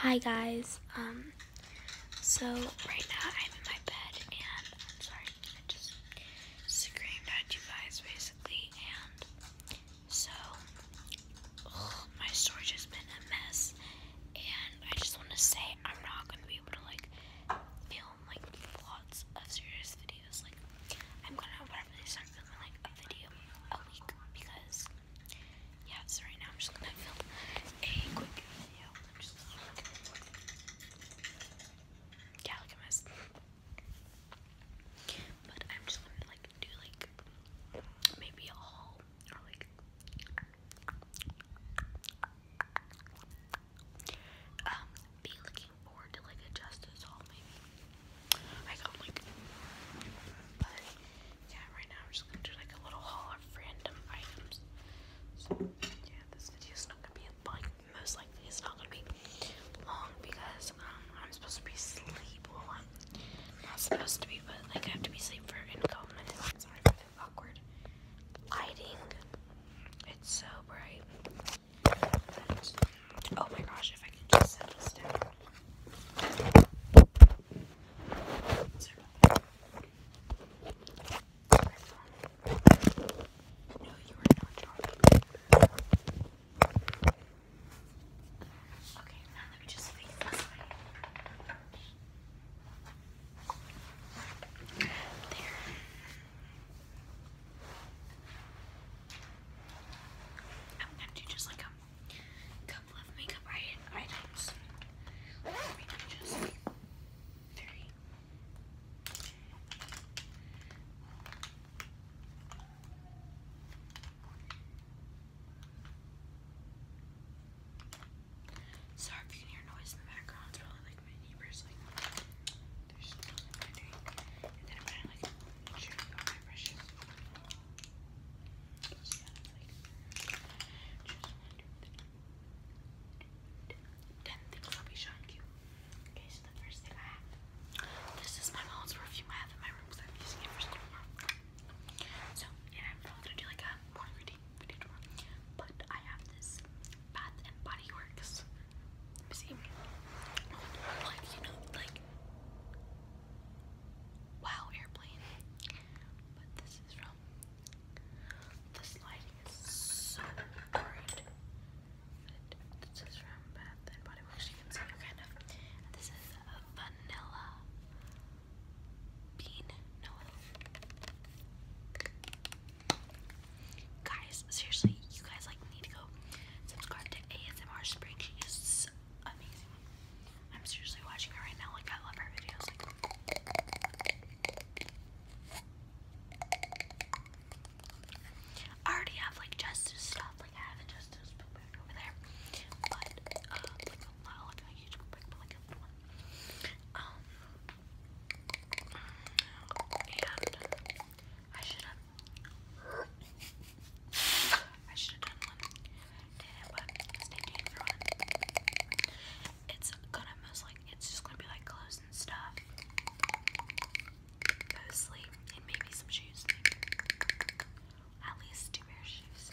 Hi guys, um, so right now I'm in my bed and I'm sorry, I just screamed at you guys basically and so my storage has been a mess and I just want to say I'm not going to be able to like film like lots of serious videos like I'm going to have probably start filming like a video a week because yeah, so right now I'm just gonna film a quick video. But I'm just gonna like do like maybe a haul or like um be looking forward to like a justice haul maybe. I got yeah, right now we're just gonna do like a little haul of random items. So yeah, this video is not gonna be like most likely it's not gonna be long because um, I'm supposed to be sleep. I'm not supposed to be, but like I have to be sleep for in a couple minutes. I'm sorry for the awkward lighting. It's so bright. oh my gosh, if I can just set no, you are not drawing. Okay, now let me just face this way. There. I'm gonna do just like a couple of makeup items. Let Sorry if you hear noise in the background, it's probably like my neighbors like there's something they're doing. And then I'm like make my brushes. 10 things I'll be showing you. Okay, so the first thing I have. This is my mom's perfume I have in my room I'm using it for school So, and I'm probably gonna do like a morning routine video tomorrow. But I have this Bath and Body Works. see. Like, you know, like Wow Airplane. But this is from. This lighting is so bright. This is from Bath and Body Works. You can see it kind of. this is a vanilla bean Guys, seriously, you guys like need to go subscribe to ASMR Spring amazing. I'm seriously watching her right now. Like I love her videos. Like, I already have like justice stuff. Like I have a justice book over there, but um, like a lot, like a huge book bag, but one. Um, and I should have it's gonna most like it's just gonna be like clothes and stuff. Mostly. And maybe some shoes. At least two pair of shoes.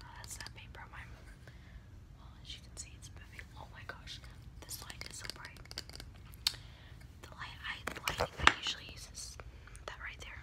Oh, that's that paper on my well as you can see it's moving. Oh my gosh, this light is so bright. The light I the lighting I usually use is that right there.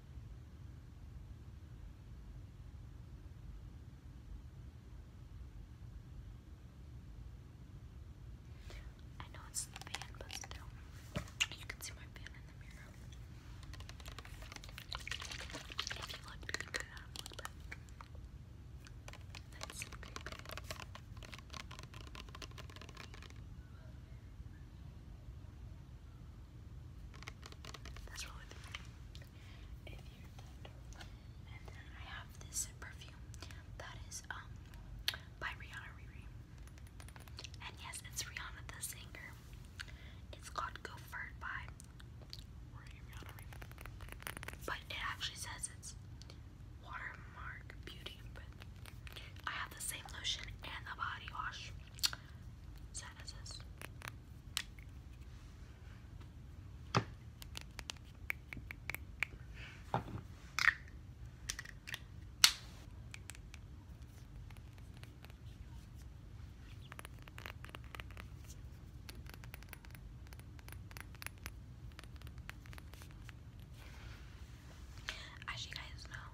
I know it's the fan, but still, you can see my fan in the mirror. If you look, you can look back. That's so creepy. That's really the If you And then I have this perfume that is um by Rihanna And yes, it's Rihanna the singer. It's called Go For by Rihanna But it actually says it's Watermark Beauty, I have the same lotion and the body wash sinuses. As you guys know,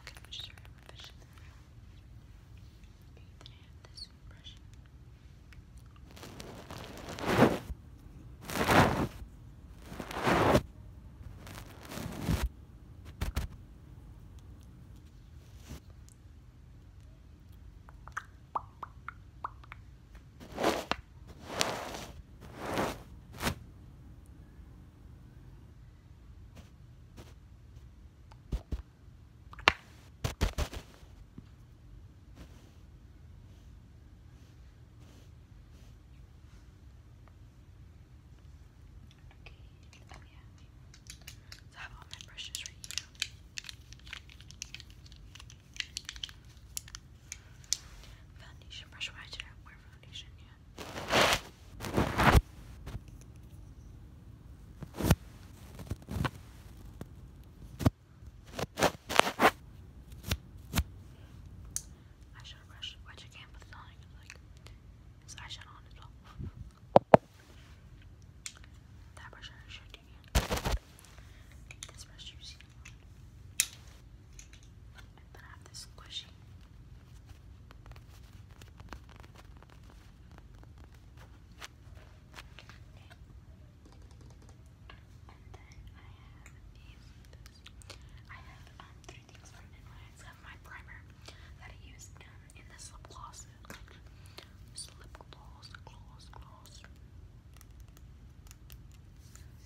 Okay, we just started with fish in the room. Okay, then I have this brush. Okay, Oh yeah. So I have all my brushes right here. Foundation brush. Why did I wear foundation yet? Eyeshadow brush, which I can, but eyeshadow on it all. That brush I should do this you I have this squishy. And then I have I have um, three things from NYX. I have my primer that I use um, in this lip gloss. Slip gloss, gloss, gloss.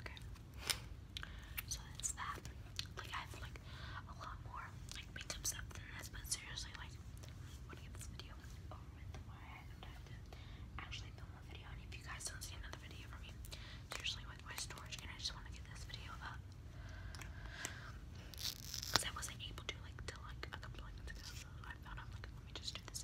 Okay. So that's that. Like I have like a lot more like makeup stuff than this, but seriously, like I want to get this video over not have to actually film a video, and if you guys don't see another video from me, seriously, with my storage, and I just want to get this video up because I wasn't able to like till like a couple of months ago. So I found like let me just do this